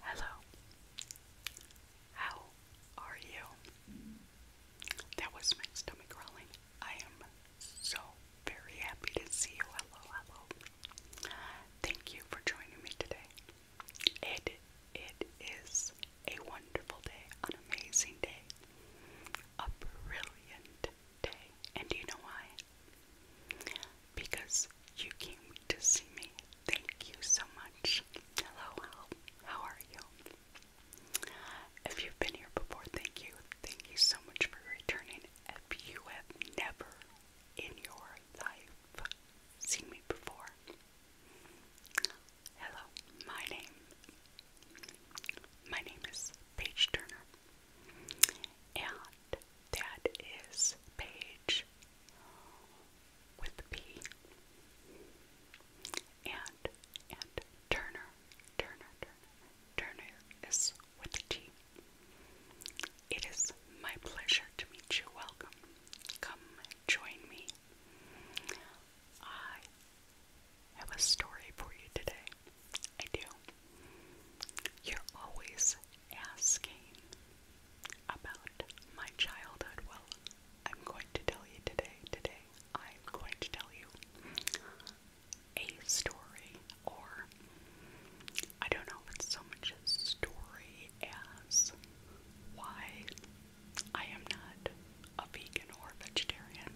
Hello. How are you? That was my stomach growling. I am so very happy to see you. Hello, hello. Thank you for joining me today. It it is a wonderful day, an amazing day, a brilliant day. And you know why? because you came to see me. Thank you so much. Hello, how, are you? If you been here before, thank you. Thank you so much for returning. If you have never in your life seen me before, hello, my name. My name is Paige Turner, and that is page with the P. And, and Turner, Turner, Turner, is with the T. It is my pleasure to meet you. Welcome. Come join me. I have a story for you today. I do. You're always asking about my childhood. Well, I'm going to tell you today, today, I'm going to tell you a story, or I don't know if so much a story as why I am not a vegan or a vegetarian.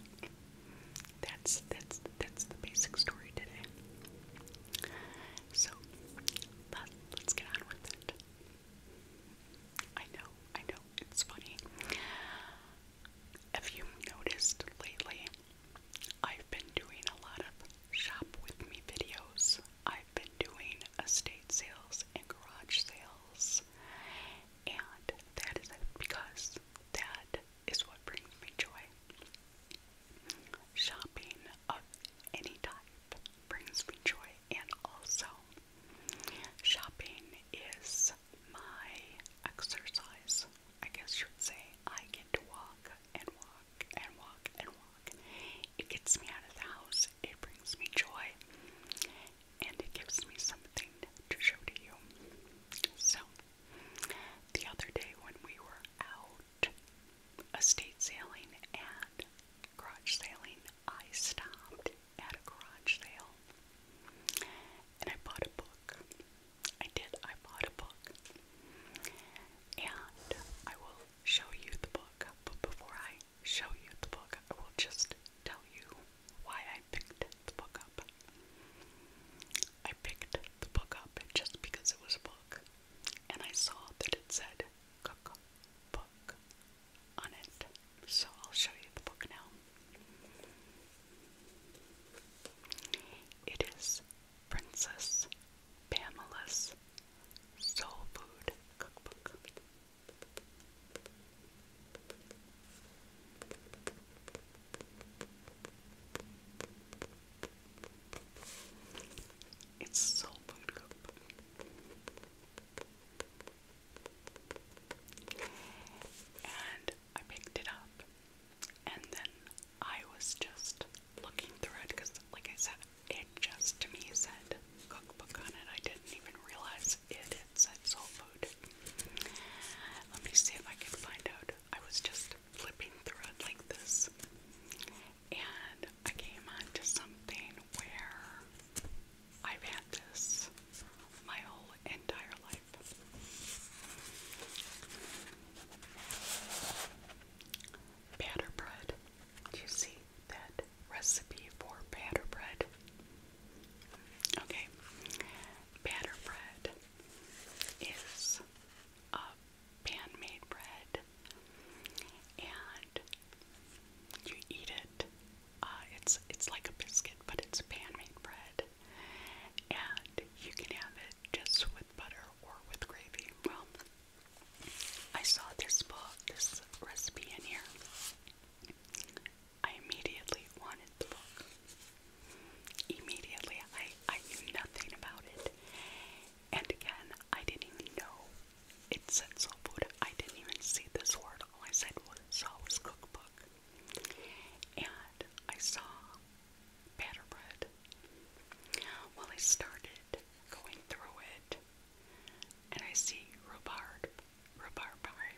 That's that's that's the basic story today. So but let's get on with it. I know, I know, it's funny. If you noticed lately, I've been doing a lot of shop with me videos. I've been doing estate sales and garage sales, and that is because that is what brings me joy. Shopping of any type brings me joy, and also shopping is my exercise. I guess you would say I get to walk and walk and walk and walk. It gets me out of the house, it brings me joy, and it gives me something to show to you. So, the other day when we were out estate sailing and garage sailing, I stopped at a garage sale and I bought a book. I did, I bought a book. And I will show you the book, but before I show you the book, I will just tell you why I picked the book up. I picked the book up just because it was a book and I saw that it said cookbook on it. So I'll show you the book now. It is Princess Pamela's Soul Food Cookbook. It's so buttercup. And I picked it up, and then I was just looking through it because, like I said, it just to me said cookbook on it. I didn't even realize it, it said soul food. Let me see if I can find out. I was just flipping through it like this, and I came onto something where I've had this my whole entire life. Batter bread. you see that recipe for batter bread? Okay, batter bread is a pan made bread and you eat it. Uh, it's it's like a biscuit, but it's pan made bread. And you can have it just with butter or with gravy. Well, I saw this book, this recipe in here. I immediately wanted the book. Immediately, I I knew nothing about it, and again, I didn't even know it said soul food. I didn't even see this word. All I said was saw cookbook. And I saw batter bread. Well, I started going through it, and I see rhubarb, rhubarb pie.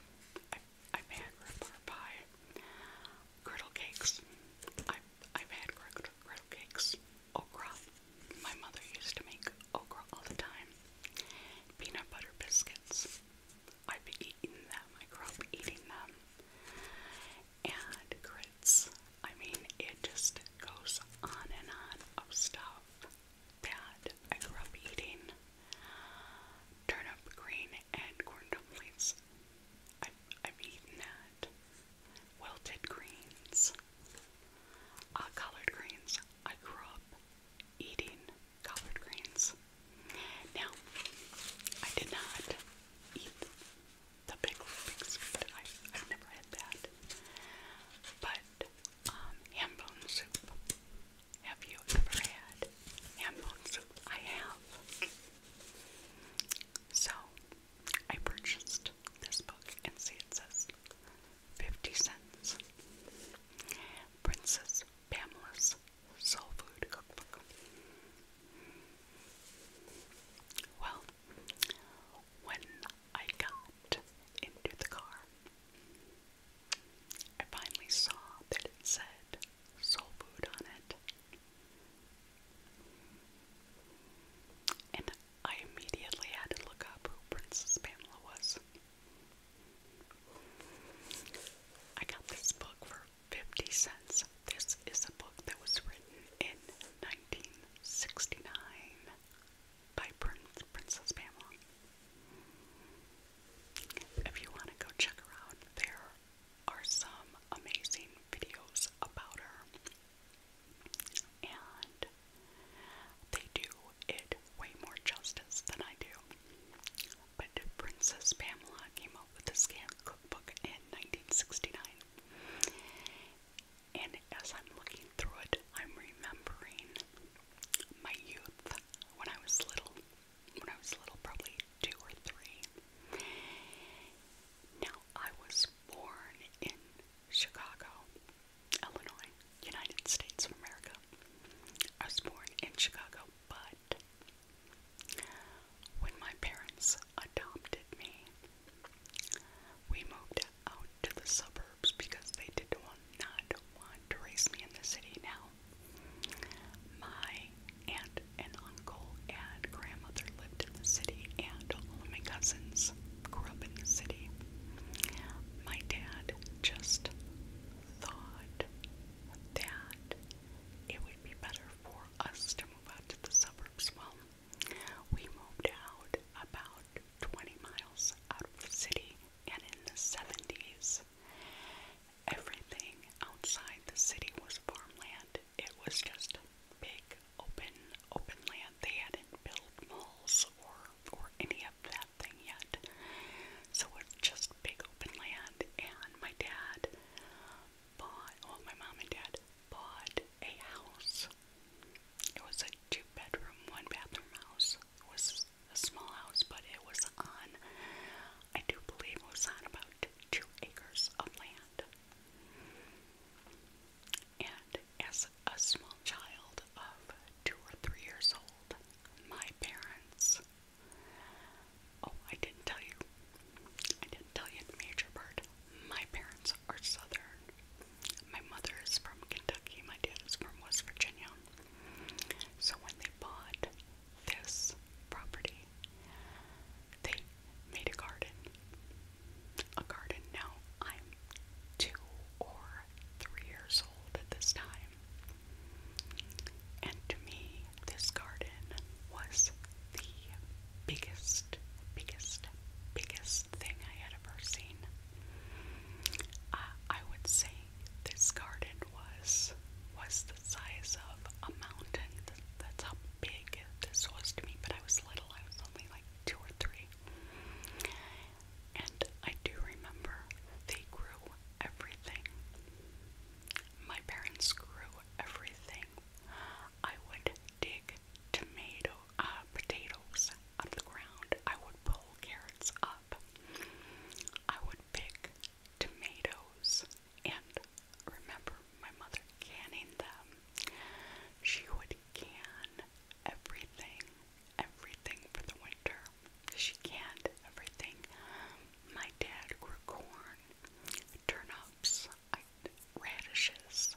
I, I've had rhubarb pie, griddle cakes. i I've had griddle, griddle cakes okra. My mother used to make okra all the time. Peanut butter biscuits. I'd be eating them. I grew up eating them. And grits. I mean, it just goes on and on of stuff that I grew up eating. Turnip green and corn dumplings. i I've eaten that wilted greens, uh, greens. I grew up eating collard greens. Now, I did not eat the pickle biscuit. I, I've never had that. But um, ham bone soup. Have you ever had ham bone soup? I have. So, I purchased this book and see it says 50 cents. Princess Pamela's Soul Food Cookbook. Well, when I got into the car, I finally saw that it said soul food on it. And I immediately had to look up who Princess Pamela was. I got this book for 50 cents. This is a book that was written in 1969 by Princess Pamela. If you want to go check her there are some amazing videos about her and they do it way more justice than I do. But Princess Pamela came out with this cookbook in 1969, and as I'm looking through it, I'm remembering my youth when I was little. When I was little, probably two or three. Now, I was born in Chicago, Illinois, United States of America. I was born in Chicago, but when my parents adopted me, we moved out to the suburbs because they did not want to raise me in the city now. My aunt and uncle and grandmother lived in the city, and all of my cousins grew up in the city. My dad just thought that it would be better for us to move out to the suburbs. Well, we moved out about 20 miles out of the city, and in the 70s, everything outside the city was farmland it was just a big open open land. They hadn't built malls or or any of that thing yet. So it's just big open land and my dad bought well my mom and dad bought a house. It was a two bedroom, one bathroom house. It was a small house, but it was on I do believe it was on about two acres of land. And as a small child of two or three years old, my parents. Oh, I didn't tell you. I didn't tell you the major part. My parents are southern. My mother is from Kentucky, my dad is from West Virginia. So when they bought this property, they made a garden. A garden. Now, I'm two or three years old at this time. And to me, this garden was the biggest, biggest, biggest thing I had ever seen. Uh, I would say this garden was was the size of a mountain. That's how big this was to me. But I was little. I was only like two or three. And I do remember they grew everything. My parents grew everything. I would dig tomato uh, potatoes out of the ground. I would pull carrots up. I would pick tomatoes and remember my mother canning them. She would can everything, everything for the winter. She canned everything. My dad grew corn, turnips, radishes.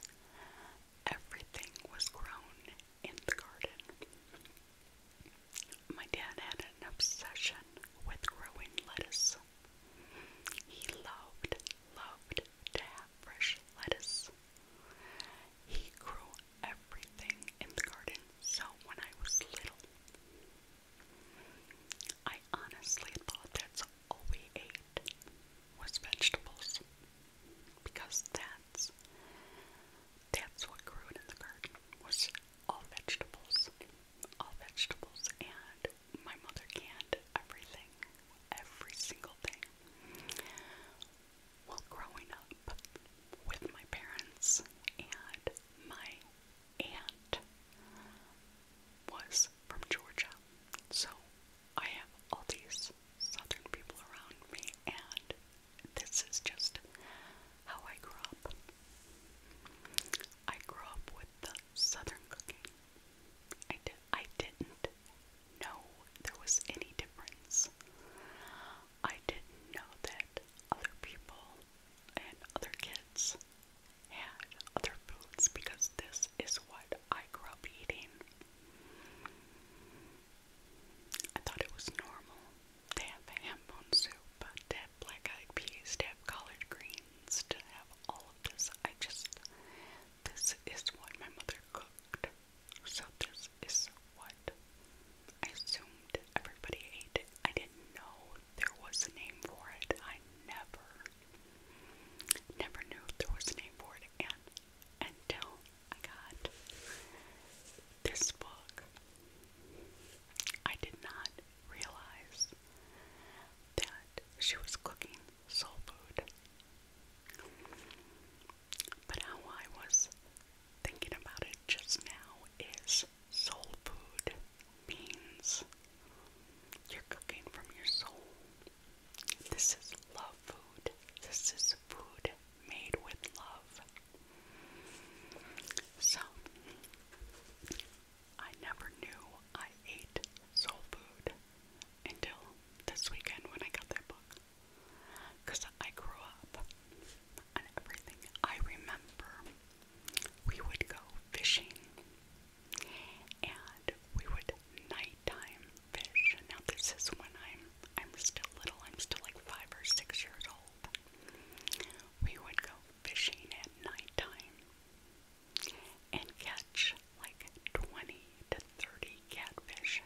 Everything was grown in the garden. My dad had an obsession with growing lettuce. He loved, loved to have fresh lettuce. He grew everything in the garden, so when I was little, I honestly thought that's all we ate was vegetables because that's that's what grew in the garden was all vegetables all vegetables and my mother canned everything, every single thing. Well, growing up with my parents and my aunt was from Georgia, so I have all these southern people around me, and this is just how I grew up. I grew up with the southern cooking. I did. I didn't did there was any difference. I didn't know that other people and other kids had other foods because this is what I grew up eating. I thought it was normal to have ham bone soup, to have black eyed peas, to have collard greens, to have all of this. I just this is what my mother cooked. So, this is what I assumed everybody ate. I didn't know there was a name for it. I never, never knew there was a name for it. And until I got this book, I did not realize that she was cooking soul food. But how I was thinking about it just now is soul food means you're cooking from your soul. This is love food. This is food made with love. So, I never knew I ate soul food until this weekend when I got that book. Because I grew up on everything. I remember we would go fishing and we would nighttime fish. Now, this is when I'm, I'm still little, I'm still like five or six years old. We would go fishing at nighttime and catch like 20 to 30 catfish.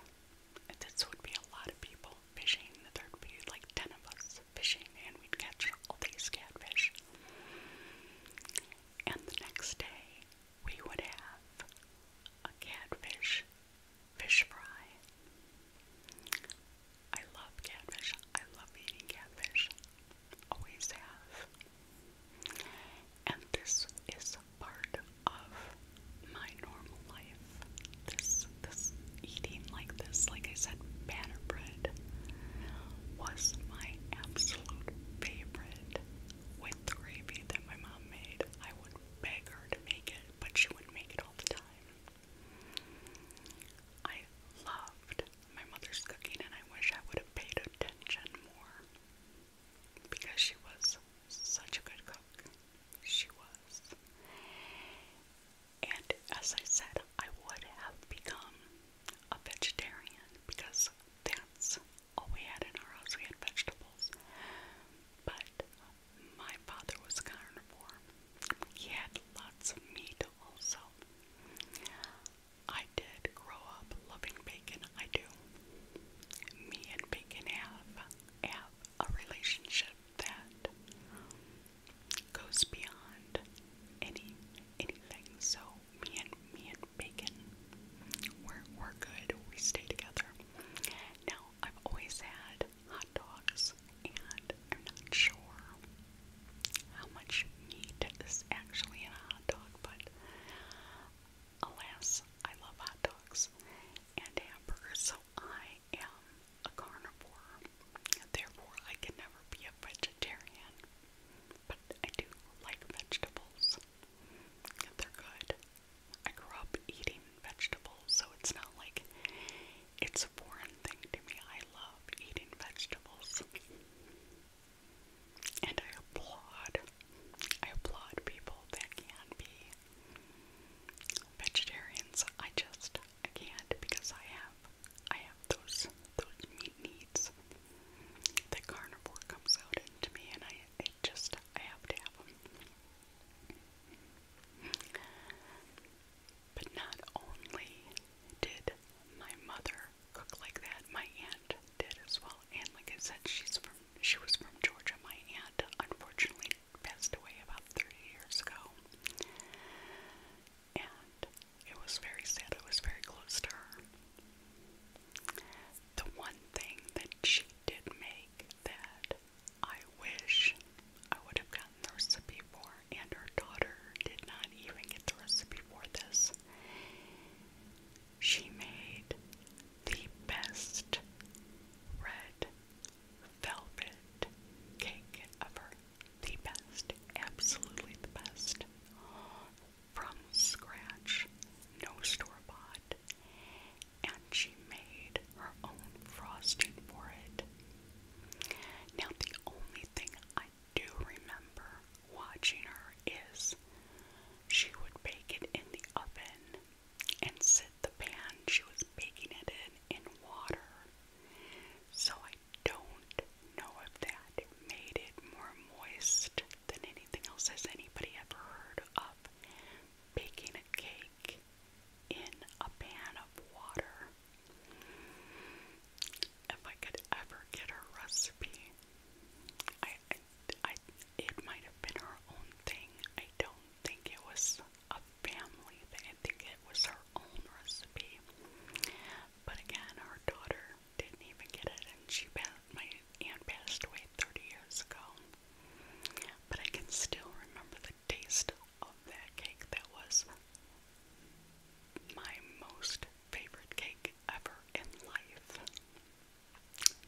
and This would be a lot of people fishing. There'd be like 10 of us fishing, and we'd catch all these catfish. And the next day, we would have a catfish fish fry. I love catfish. I love eating catfish always have. And this is part of my normal life. This this eating like this, like I said, banner bread was my absolute favorite with the gravy that my mom made. I would beg her to make it, but she wouldn't make it all the time. I loved my mother's cooking and I wish I would have paid attention more because she was such a good cook. She was. And as I said, I would have become a vegetarian because that's all we had in our house. We had vegetables. But my father was a carnivore. He had lots of meat also. I did grow up loving bacon. I do. Me and bacon have have a relationship that goes beyond any anything. So me and me and bacon, we're we're good. We stay together. Now I've always had hot dogs, and I'm not sure how much meat is actually in a hot dog, but Alas, I love hot dogs and hamburgers, so I am a carnivore. Therefore, I can never be a vegetarian. But I do like vegetables. They're good. I grew up eating vegetables, so it's not like it's a foreign thing to me. I love eating vegetables. And I applaud, I applaud people that can be vegetarians. I just, can't because I have, I have those, those meat needs that carnivore comes out into me and I, just, I have to have them. But not only did my mother cook like that. My aunt did as well, and like I said, she's from she was from Georgia. My aunt unfortunately passed away about 30 years ago, and it was very sad. I was very close to her. The one thing that she did make that I wish I would have gotten the recipe for, and her daughter did not even get the recipe for this, she made the best red velvet cake ever. The best, absolutely the best. From scratch, no store bought. And she made her own frosting for it. Now, the only thing I I do remember watching her is she would bake it in the oven and sit the pan she was baking it in in water. So I don't know if that made it more moist than anything else. Has anybody ever heard of baking a cake in a pan of water? If I could ever get her recipe, I I, it might have been her own thing. I don't think it was a family thing. I think it was her own recipe. But again, her daughter didn't even get it, and she passed, my aunt passed away 30 years ago. But I can still remember the taste of that cake. That was my most favorite cake ever in life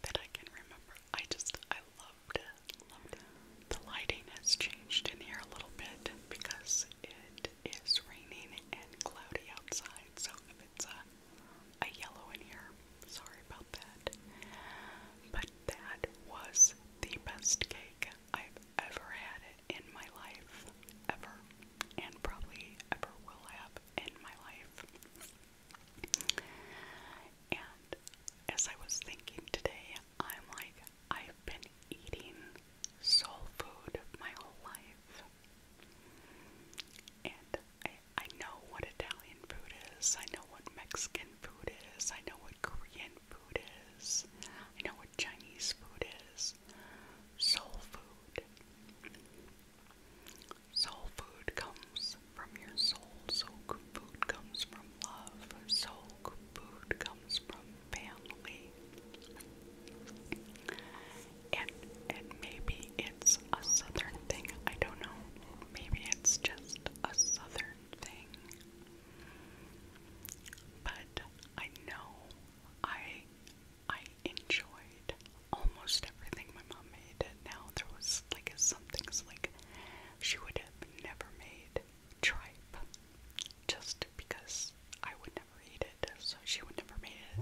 that I can remember. I just, I loved it, loved it. The lighting has changed in here a little bit because it is raining and cloudy outside, so if it's a, a yellow in here, sorry about that. But that was the best cake I've ever had in my life, ever, and probably ever will have in my life. And as I was thinking today, I'm like, I've been eating soul food my whole life. And I, I know what Italian food is, I know what Mexican food is, I know what Korean food is, I know what Chinese food is. Soul food. Soul food comes from your soul. Soul food comes from love. Soul food comes from family. And and maybe it's a southern thing. I don't know. Maybe it's just a southern thing. But I know I I enjoyed almost everything my mom made. Now there was like some things like she would have never made tripe just because I would never eat it, so she would never made. it.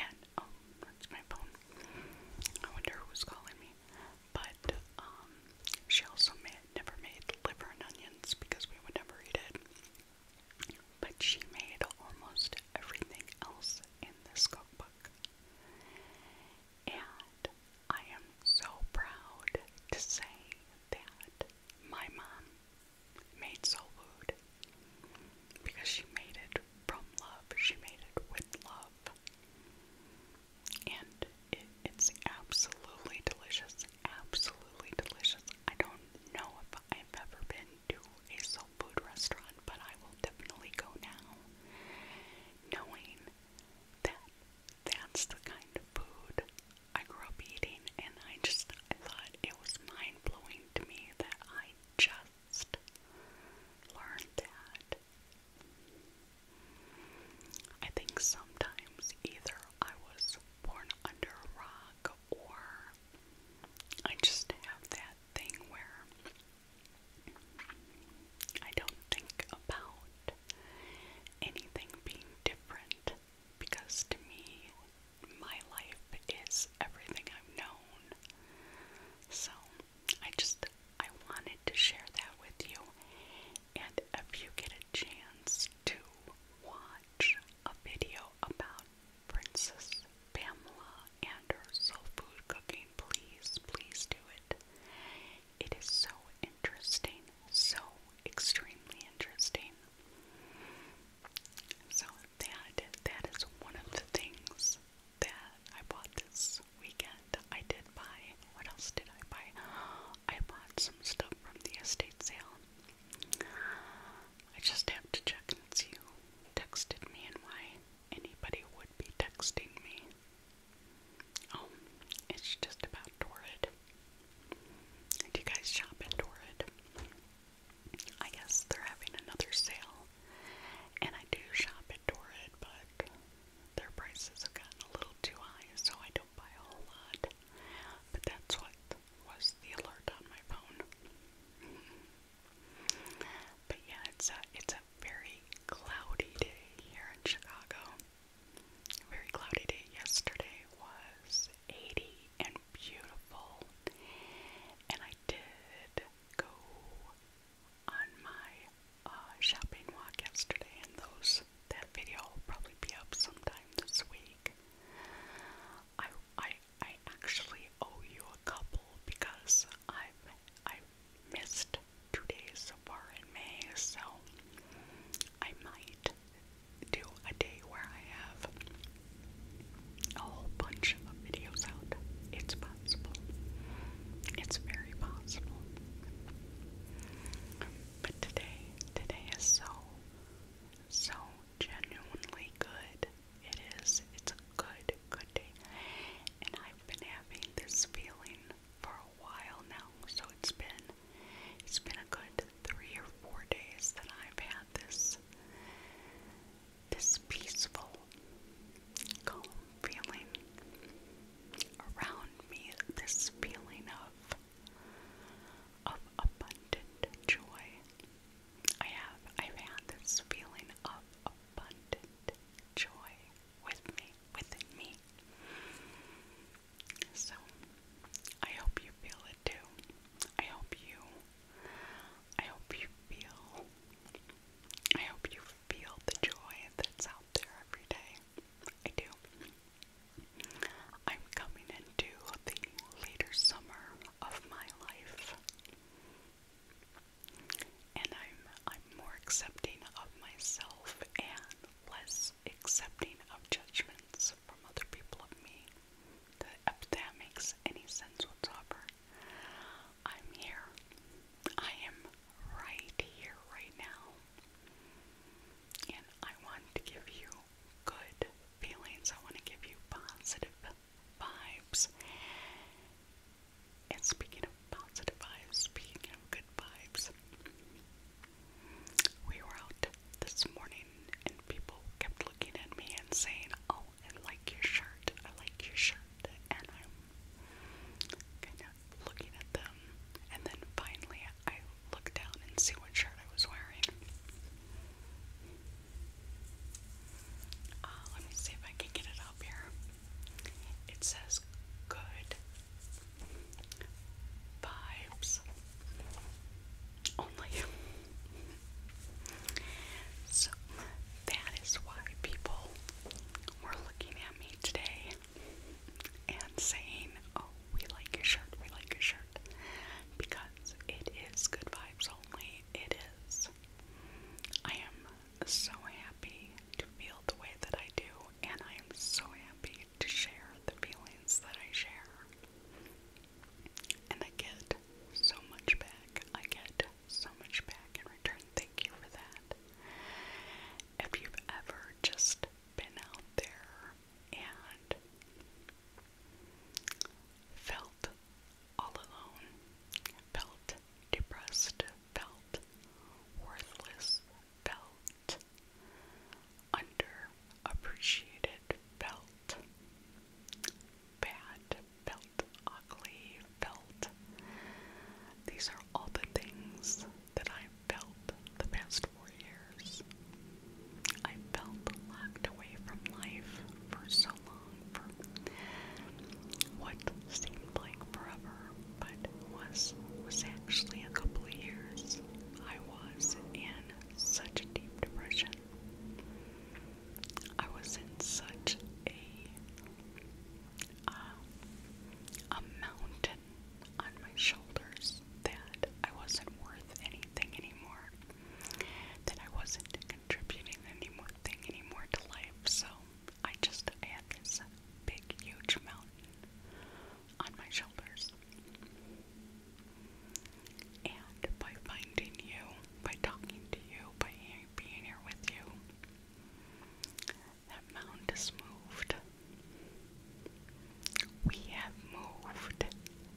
And um, my phone. I wonder who's calling me. But um, she also made, never made liver and onions because we would never eat it but she made almost everything else in this cookbook. And I am so proud to say that my mom made soul food because she made it from love, she made it with love. And it's absolutely delicious, absolutely delicious. I don't know if I've ever been to a soul food restaurant, but I will definitely go now, knowing that that's the kind of food I grew up eating, and I just I thought it was mind blowing to me that I just learned that. I think sometimes either I was born under a rock or I just have that thing where I don't think about anything being different because to me, my life is everything I've known. So I just I wanted to share that with you, and if you get a chance to watch a video about Princess Pamela and her soul food cooking. Please, please do it. It is so interesting, so extremely interesting. So that that is one of the things that I bought this weekend. I did buy what else did I buy? I bought some stuff from the estate sale. I just have to check and you, texted me and why anybody would be texting me. Oh, it's just about Torrid. Do you guys shop at Torrid? I guess they're having another sale, and I do shop at Torrid, but their prices have gotten a little too high, so I don't buy a whole lot. But that's what was the alert on my phone. but yeah, it's a it's a very cloudy day here in Chicago. very cloudy day yesterday was 80 and beautiful. And I did go on my uh, shopping walk yesterday, and those that video will probably be up sometime this week. I I I actually owe you a couple because I've I missed two days so far in May, so I might do a day where I have a whole bunch of videos out. It's possible. It's very possible. But today, today is so, so genuinely good. It is. It's a good, good day. And I've been having this feeling for a while now. So it's been it's been a good three or four days that I've had this this peaceful calm feeling around me, this feeling of of abundant joy. I have I've had this feeling of abundant joy with me within me. So I hope you feel it too. I hope you I hope you feel I hope you feel the joy that's out there every day. I do. I'm coming into the later summer of my life. And I'm I'm more accepting of myself and less accepting of judgments from other people of me. if that makes any sense whatsoever. I'm here. I am right here right now. And I want to give you good feelings. I want to give you positive vibes. And speaking of positive vibes, speaking of good vibes, we were out this morning and people kept looking at me and saying, Oh, I like your shirt, I like your shirt. And I'm kind of looking at them. And then finally, I looked down and see what shirt I was wearing. Uh, let me see if I can get it up here. It says good vibes only. so that is why people were looking at me today and saying, Oh, we like your shirt, we like your shirt. Because it is good vibes only it is. I am so happy to feel the way that I do, and I am so happy to share the feelings that I share. And I get so much back. I get so much back in return. Thank you for that. If you ever just been out there and felt all alone, felt depressed, felt worthless, felt underappreciated, felt bad, felt ugly, felt. These are all the things that I felt the past four years. I felt locked away from life for so long, for what seemed like forever, but was was actually a couple of years. I was in such a deep depression. I was in such a uh, a mountain on my shoulders that I wasn't worth anything anymore that I wasn't contributing any more thing anymore to life, so I just had this big, huge mountain on my shoulders. And by finding you, by talking to you, by being here with you, that mountain has moved. We have moved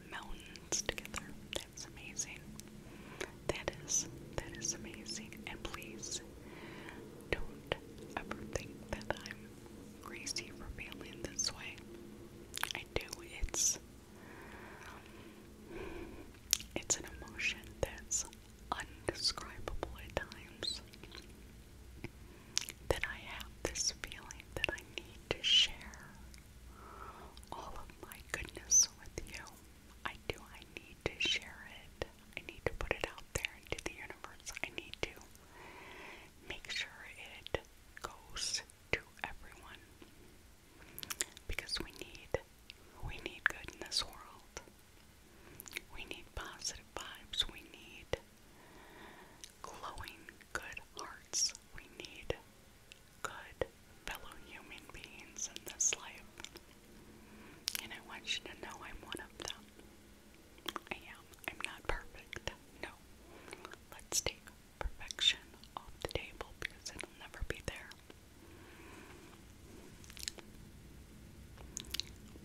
mountains together. That's amazing. That is that is amazing. And please don't ever think that I'm crazy for feeling this way. I do. It's it's an emotion that's undescribable at times. That I have this feeling that I need to share all of my goodness with you. I do. I need to share it. I need to put it out there into the universe. I need to make sure it goes to everyone because we need we need good in this world. We need positive vibes. We need glowing good hearts. We need good fellow human beings in this life. And I want you to know I'm one of them. I am. I'm not perfect. No. Let's take perfection off the table because it'll never be there.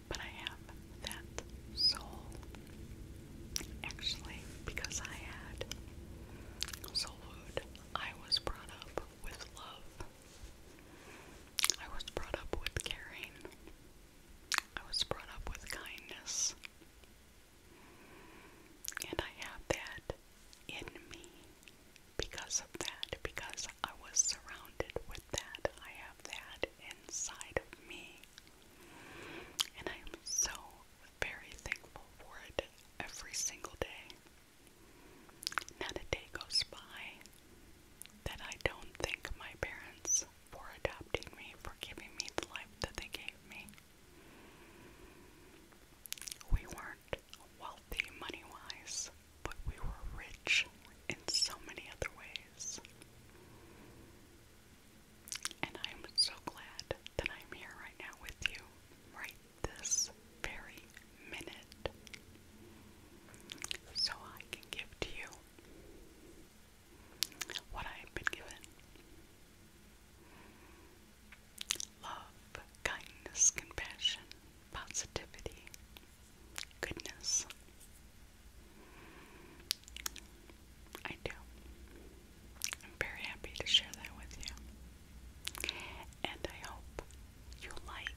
But I have that soul. Actually, because I had soul food I was brought up with love. I was brought up with caring. I was brought up with kindness. And I have that in me because of that, because I was surrounded with that. I have that inside of me. And I am so very thankful for it every single day. Not a day goes by that I don't thank my parents for adopting me, for giving me the life that they gave me. We weren't wealthy money wise, but we were rich in so many other ways. And I am so glad that I'm here right now with you, right this very minute, so I can give to you what I have been given love, kindness, compassion, positivity, goodness. I do. I'm very happy to share that with you. And I hope you like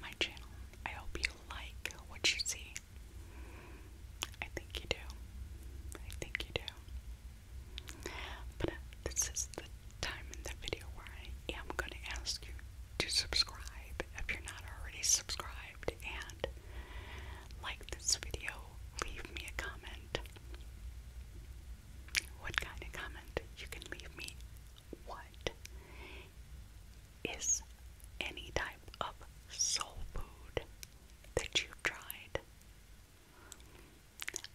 my channel. I hope you like what you see. I think you do. I think you do. But uh, this is the time in the video where I am going to ask you to subscribe if you're not already subscribed and like this video, leave me a comment what kind of comment you can leave me. What is any type of soul food that you've tried?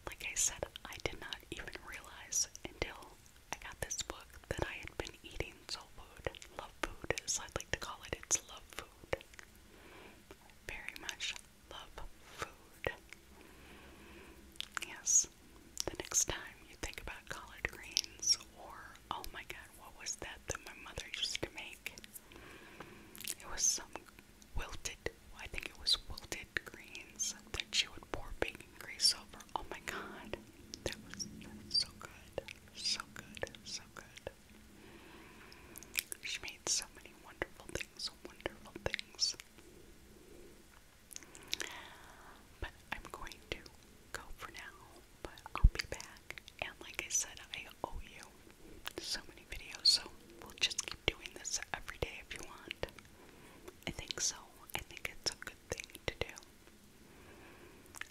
Like I said, I did not even realize until I got this book that I had been eating soul food. Love food, as I'd like to call it. It's love food. Very much love food. Yes, the next time you think about collard greens, or oh my god, what was that that my mother used to make? It was some wilted, I think it was wilted greens that she would pour baking grease over. Oh my god, that was, so good, so good, so good. She made so many wonderful things, wonderful things. But I'm going to go for now, but I'll be back. And like I said, I owe you so many videos, so we'll just keep doing this every day if you want. I think so. I think it's a good thing to do.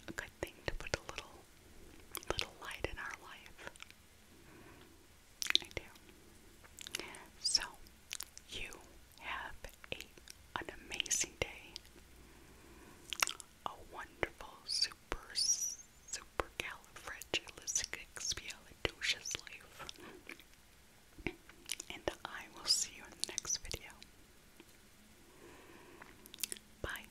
A good thing to put a little little light in our life. I do. So, you have a, an amazing day, a wonderful, super, super califragilisticexpialidocious life, and I will see you in the next video. Bye.